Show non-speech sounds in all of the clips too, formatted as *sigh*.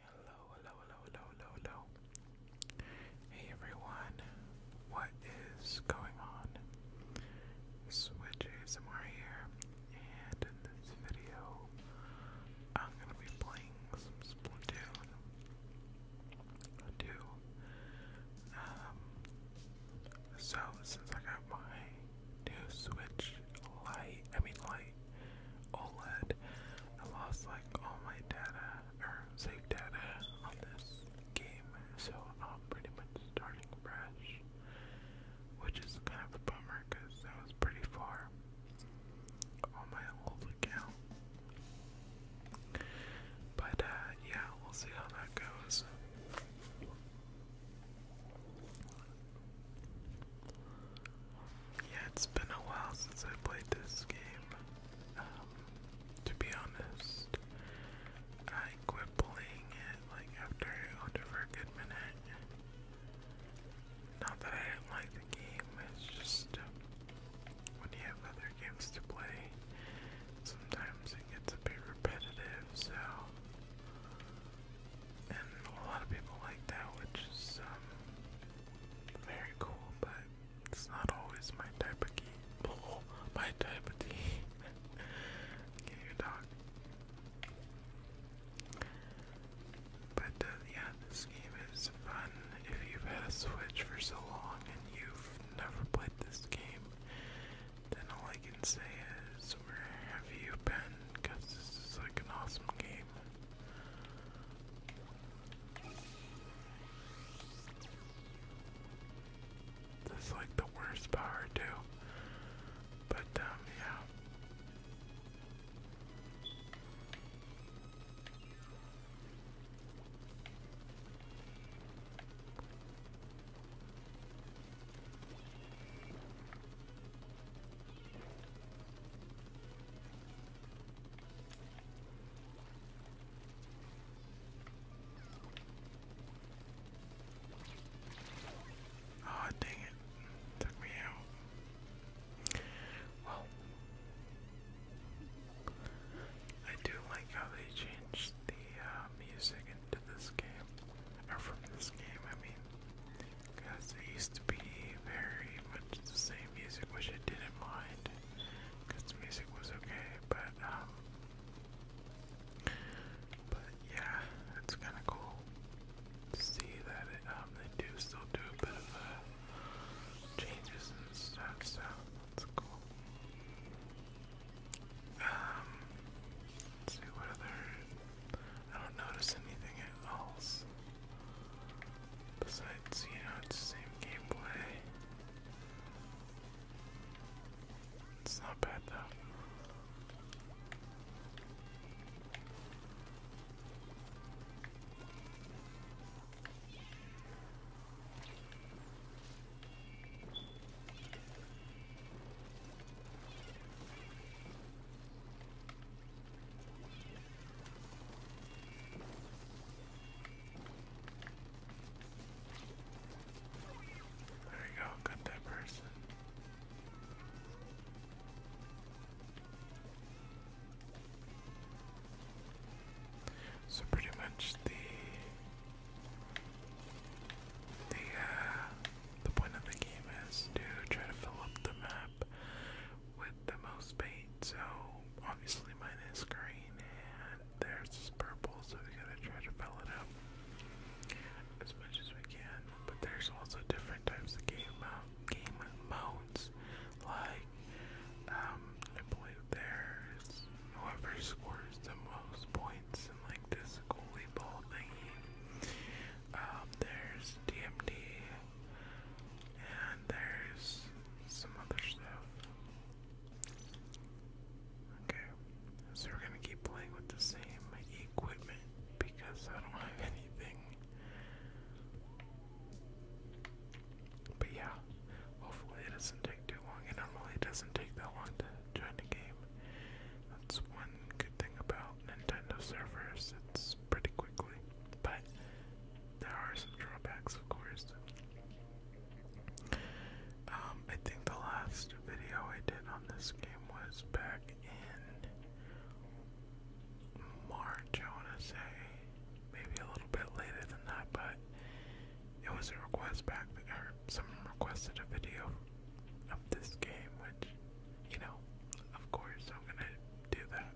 Hello, hello, hello, hello, hello, Hey everyone, what is going on? Switch ASMR here, and in this video, I'm gonna be playing some Splatoon 2 um, so since I got my new Switch Lite, I mean Lite OLED, I lost like all my data or save data on this game, so I'm pretty much starting fresh, which is kind of a bummer because that was pretty far on my old account. But uh, yeah, we'll see how that goes. Yeah, it's been a while since I played this game. Um, to be honest, I quit playing it like after I owned for a good minute. Not that I didn't like the game, it's just. Uh, when you have other games to play, sometimes it gets a bit repetitive, so. And a lot of people like that, which is um, very cool, but it's not always my type of game. *laughs* my type of tea. your *laughs* dog. But uh, yeah, this game is fun. If you've had a Switch for so long and you've never played this game, then all I can say is, where have you been? Because this is like an awesome game. This is like the worst power too. But um yeah. Oh, dang it. Took me out. Well, I do like how they changed the uh, music into this game, or from this game, I mean, because it used to be very much the same music, which I didn't mind, because the music was okay, but, um, but yeah, it's kind of cool to see that it, um, they do still do a bit of uh, changes and stuff, so that's cool. Um, see what other. I don't notice anything else. Besides, you know, it's the same gameplay. It's not bad though. There you go, got that person. So pretty much the the uh, the point of the game is to try to fill up the map with the most paint. So obviously mine is green and theirs is purple, so we gotta try to fill it up as much as we can. But there's also different types of game uh, game modes, like um, I believe there's whoever scores the most points in like this goalie ball thingy. Um, there's DMD and there's some other stuff. Okay, so we're gonna keep playing with the same equipment because I don't have anything. But yeah, hopefully it doesn't take too long. It normally doesn't take that long to join the game. That's one good thing about Nintendo servers. It's pretty quickly. But there are some drawbacks, of course. Um, I think the last video I did on this game was back in March, I want to say maybe a little bit later than that, but it was a request back that or someone requested a video of this game, which, you know, of course I'm gonna do that.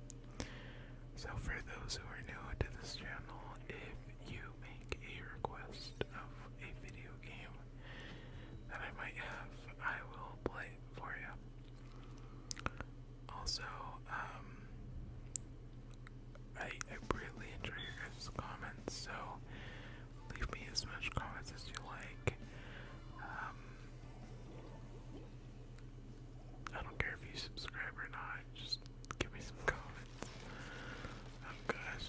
So for those who are new to this channel, if you make a request of a video game that I might have, I will play for you. Also, um, I, I really enjoy your guys' comments, so leave me as much comments as you like. Um, I don't care if you subscribe or not, just give me some comments. Oh um, gosh.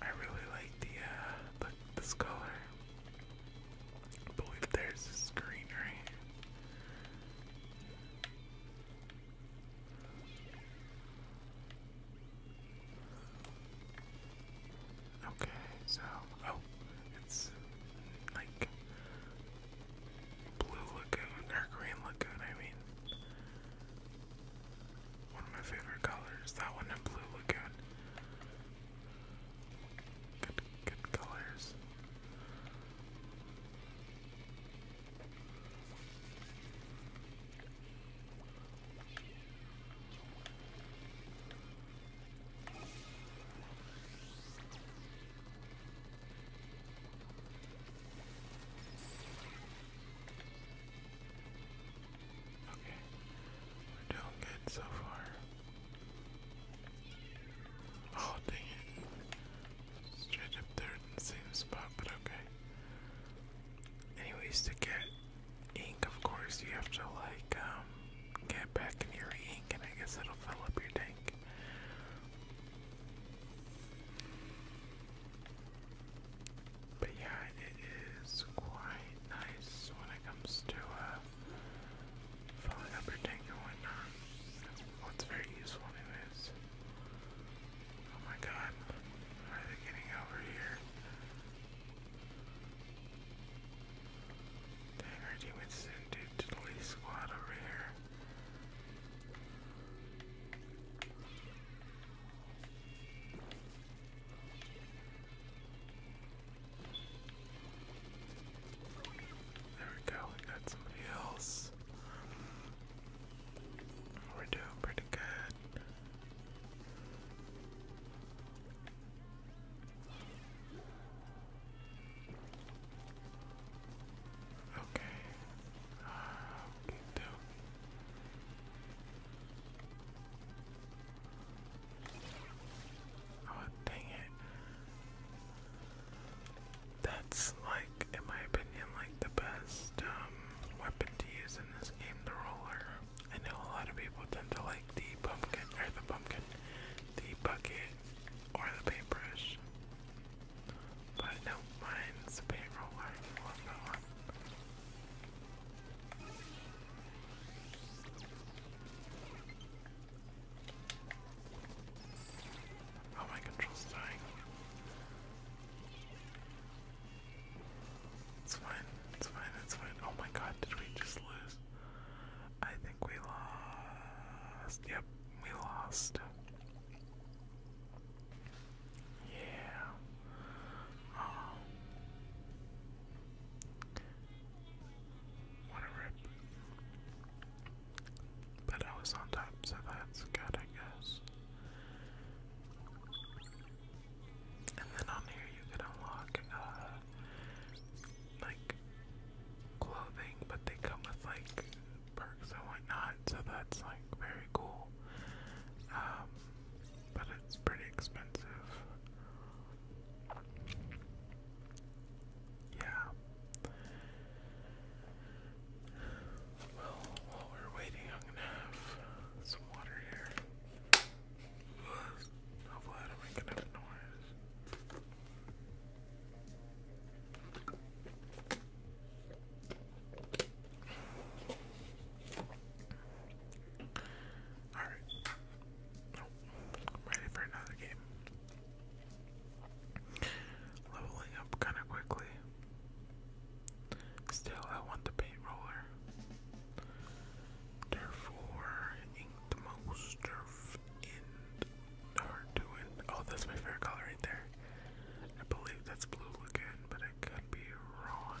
I really like the uh, the this color. believe there's a screen right Okay, so oh, it's like blue lagoon or green lagoon. I mean, one of my favorite colors. That one in Blue again. Good, good colors. Okay. We're doing good so far. Oh, dang it. Straight up there in the same spot, but okay. Anyways, to get ink, of course, you have to, like, um, get back in your ink, and I guess it'll fill up your tank. But yeah, it is quite nice when it comes to uh, up your tank and very useful, anyways. Oh my god, are they getting over here? Dang, our teammates sent a diddly squad over here. There we go, we got somebody else. We're doing pretty good. Okay. Uh, ah, okay, dope. Oh, dang it. That's like, in my opinion, like the best um, weapon to use in this game, the roller. I know a lot of people tend to like the pumpkin, or the pumpkin, the bucket, or the paintbrush. But no, mine's the paint roller. Oh, my control's dying. It's fine, it's fine, it's fine. Oh my god, did we just lose? I think we lost. Yep, we lost. Yeah. Um. What a rip. But I was on top, so that's good, I guess. And then on here you can unlock, uh, like, clothing, but they come with, like, perks and whatnot, so that's, like, very cool. Um, but it's pretty expensive. Yeah. Well, while we're waiting, I'm gonna have some water here. Hopefully, I don't make enough noise. Alright. Oh, ready for another game. Leveling up kind of quickly. Still, I want the paint roller. Therefore, ink the most turf in hard to Oh, that's my favorite color right there. I believe that's blue again, but I could be wrong.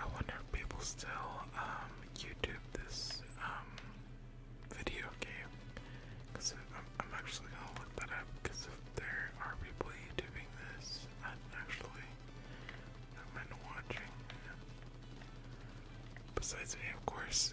I wonder if people still um, YouTube this um, video game. Because I'm, actually going to look that up. Because if there are people YouTubing this, I'm actually into watching. Besides me, of course.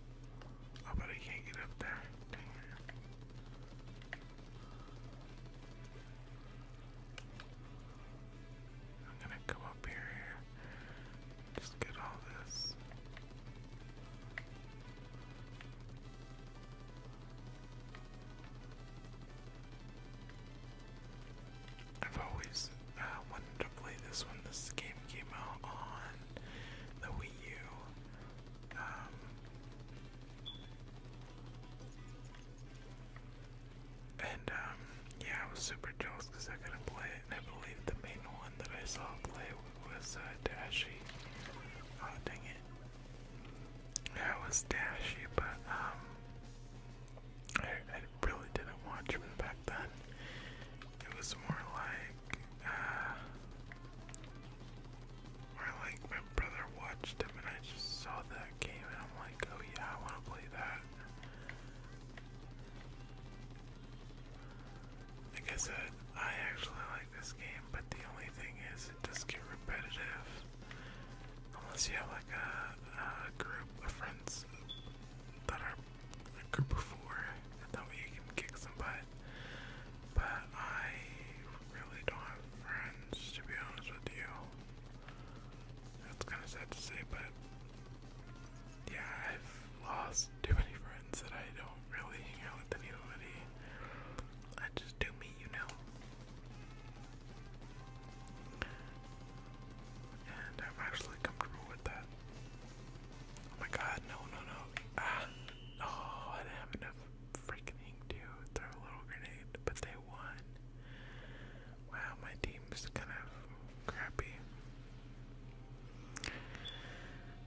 I oh, bet I can't get up there. I'm gonna come up here, Just get all this. I've always uh, wanted to play this when this game came out on the Wii U. Um, and um, yeah, I was super jealous I couldn't play it, and I believe the main one that I saw play was uh, Oh dang it! Yeah, was Dashi, but um, I, really didn't watch him back then. It was more like uh, or like my brother watched him and I just saw that game and I'm like, oh yeah, I wanna play that. Like I said, I actually like this game, but the only thing is it does get repetitive. Unless you have like a, group of friends that are a group of four, that way you can kick some but I really don't have friends, to be honest with you. That's kind of sad to say, but yeah, I've lost too many friends that I don't really hang out with anybody. I just do me, you know. And I'm actually comfortable with that. Oh my god, no, no, no. Ah. Oh, I didn't have enough freaking ink to throw a little grenade, but they won. Wow, my team's kind of crappy.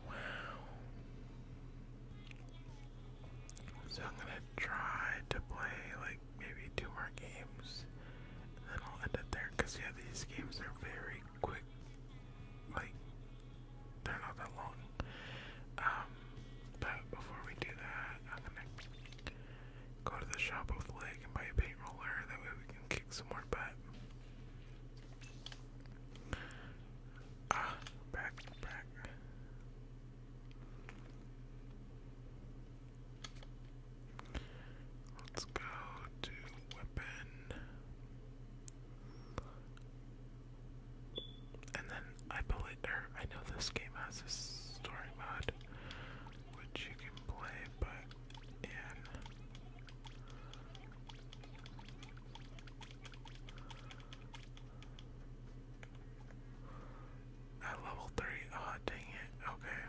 Wow. So I'm gonna try to play like maybe two more games, and then I'll end it there. Cause yeah, these games are very quick. Like they're not that long. Um, but before we do that, I'm gonna go to the shop with Leg and buy a paint roller. That way we can kick some more butt. Ah, back, Let's go to weapon. And then I believe, or I know this game has a story mode, which you can play, but in at level three. oh, dang it. Okay.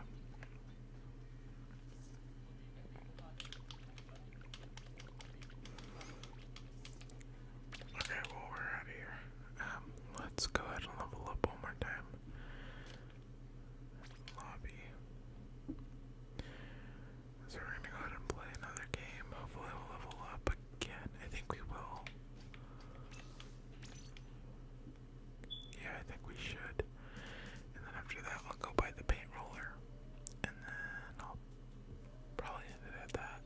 Okay, well, we're out of here. Um, let's go ahead and level up one more time. Lobby. So we're gonna go ahead and play another game. Hopefully, we'll level up again. I think we will. Yeah, I think we should. And then after that, I'll go buy the paint roller. And then I'll Probably ended at that.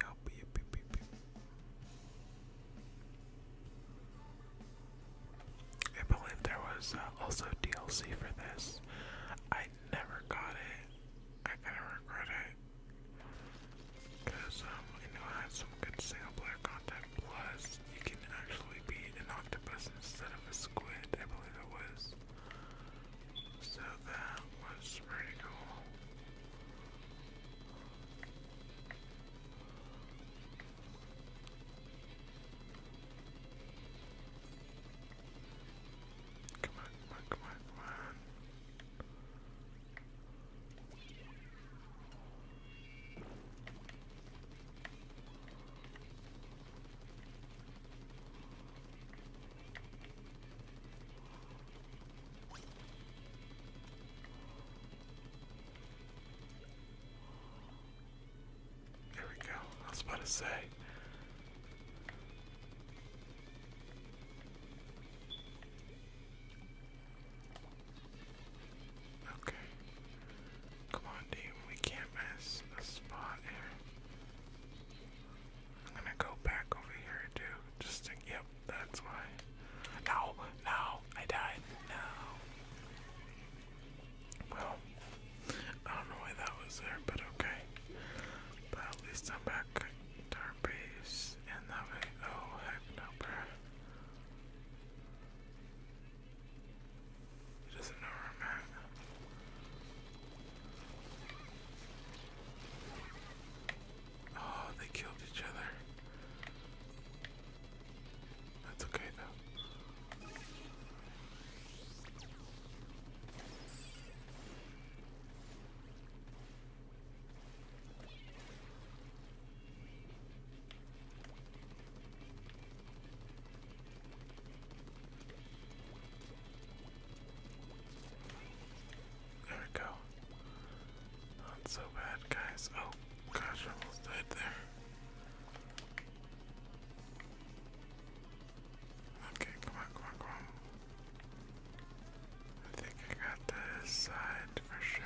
Yup, yup, yup, I believe there was uh, also DLC for this. I never got it. I kind regret it. Because um, I know I had some good single player plus you can actually be an octopus instead of a squid, I believe it was. So that was pretty cool. Come on, come on, come on, come on. There we go. I was about to say, Okay. Come on, team. We can't miss a spot here. I'm gonna go back over here too. Just yep, that's why. No, no, I died. No. Well, I don't know why that was there, but okay. But at least I'm back at base, and that way, oh heck no, bruh. He doesn't know where I'm at. Oh, they killed each other. That's okay though. There we go. Not so bad, guys. Oh, gosh, I almost died there. Okay, come on, come on, come on. I think I got this side for sure.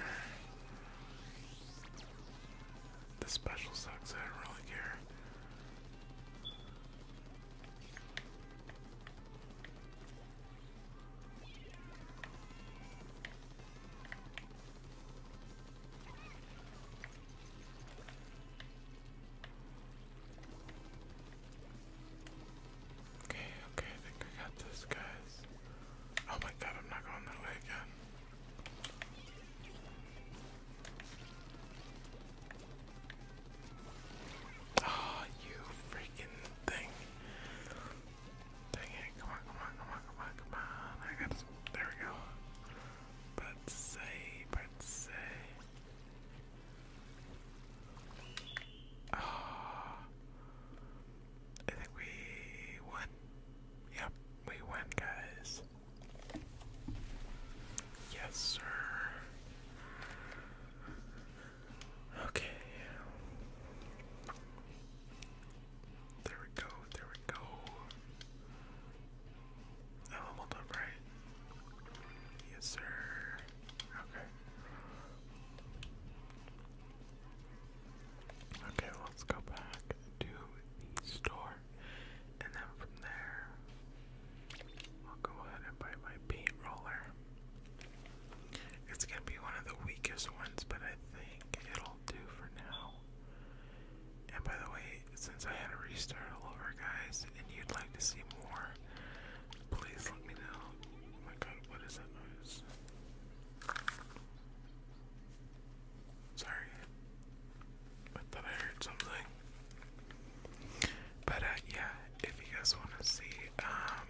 The special sucks, I don't really care. Okay, okay, I think I got this, guys. Oh my god, I'm not going that way again. Oh, you freaking thing. Dang it, come on, come on, come on, come on, come on. I got There we go. But say, but say. Uh, *sighs* I think we won. Yep, we won, guys. Yes, sir. Okay. There we go, there we go. Oh, I up, right? Yes, sir. Okay. Okay, let's go back to the store, and then from there, I'll go ahead and buy my paint roller. It's gonna be one of the weakest ones, but I think it'll do for now. And by the way, since I had to restart all over, guys, and you'd like to see more Please let me know. Oh my god, what is that noise? Sorry. I thought I heard something. But uh, yeah, if you guys wanna see, um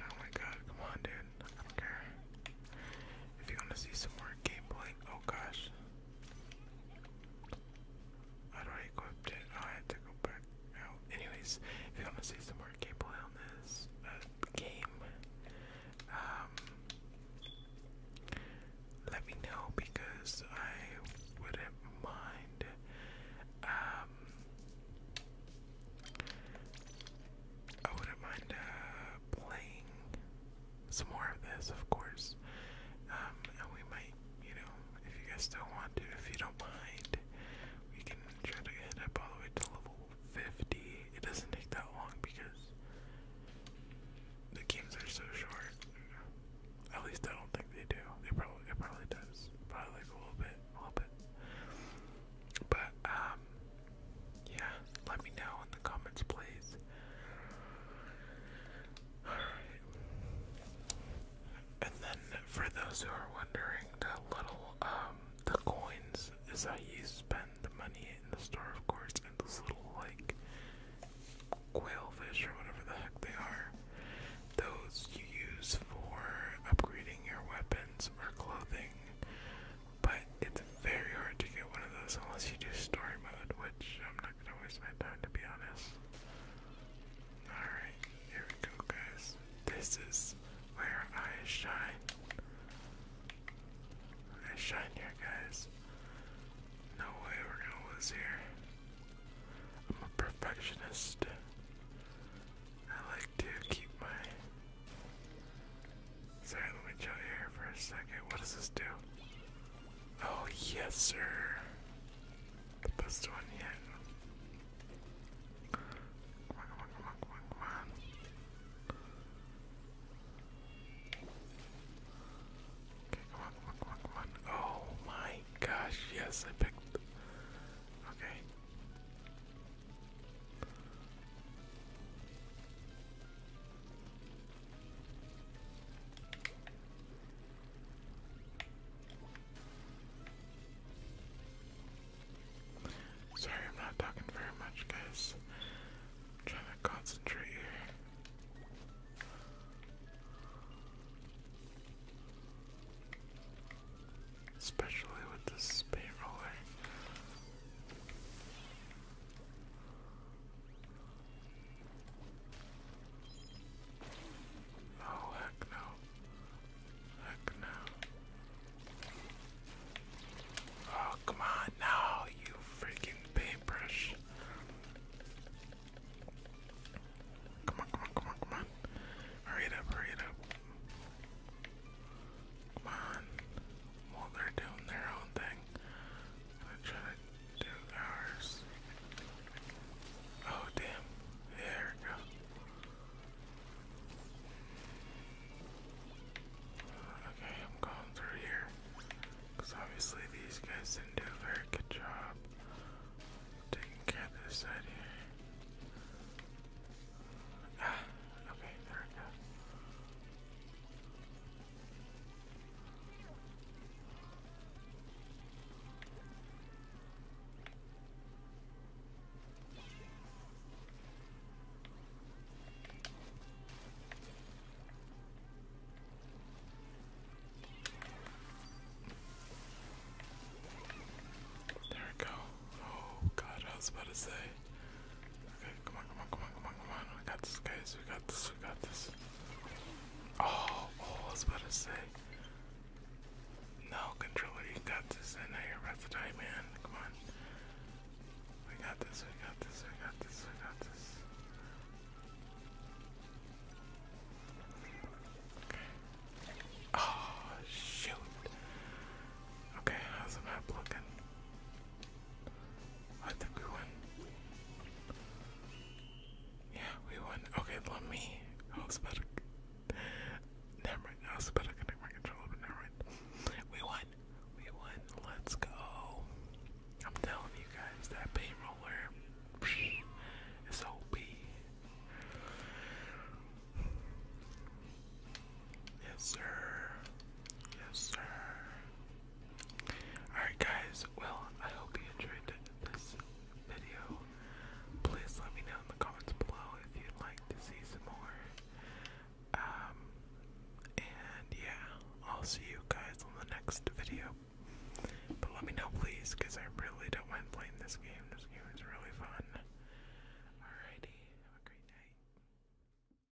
Oh my god, come on dude. I don't care. If you wanna see some more gameplay, oh gosh. I do not equip it? I have to go back out. Anyways, if you want to see some more gameplay on this uh, game, um, let me know because I wouldn't mind. Um, I wouldn't mind uh, playing some more of this, of course. Um, and we might, you know, if you guys still want to, if you don't mind, we can try to head up all the way to level 50. It doesn't take that long because the games are so short. At least I don't think they do. They probably it probably does. Probably a little bit, a little bit. But um yeah, let me know in the comments please and then for those who are wondering, the little um the coins is that you spend the money in the store of course and those little like quailfish or whatever the heck they are. Those you use for upgrading your weapons or clothing. But it's very hard to get one of those unless you do story mode, which I'm not gonna waste my time to be honest. Alright, here we go, guys. This is where I shine. I shine here, guys. No way we're gonna lose here. I'm a perfectionist. I like to keep my Sorry, let me chill here for a second. What does this do? Oh, yes, sir. The best one yet. Come Okay, come on, come Oh my gosh, yes, I picked. Okay. Sorry, I'm not talking very much, guys. I'm trying to concentrate here. Especially with this paint roller. Eh? Oh, heck no. Heck no. Oh, come on now, you freaking paintbrush. Come on, come on, come on, come on. Hurry up, hurry up. Come on. Well, they're doing their own thing. I'm Oh damn, there we go. Okay, I'm going through here. Because obviously these guys didn't do a very good job taking care of this side here. Ah, okay, there we go. There we go. Oh god, I was about to say. Okay. Okay, come on, come on, come on, come on, come on. We got this, guys. We got this, we got this. Oh, oh, I was about to say. No, controller, you got this. I know you're about to die, man. Come on. We got this, we got this, we got this, we got this. Okay. Oh, shoot. Okay, how's the map looking? I think we won. Yeah, we won. Okay, let me. Never never We won. We won. Let's go. I'm telling you guys, that paint roller psh, OP. Yes, sir. Yes, sir. Alright, guys, well, I hope you enjoyed this video. Please let me know in the comments below if you'd like to see some more. Um, and yeah, I'll see you guys on the next video. But let me know, please, because I really don't mind playing this game. This game is really fun. Alrighty, have a great night.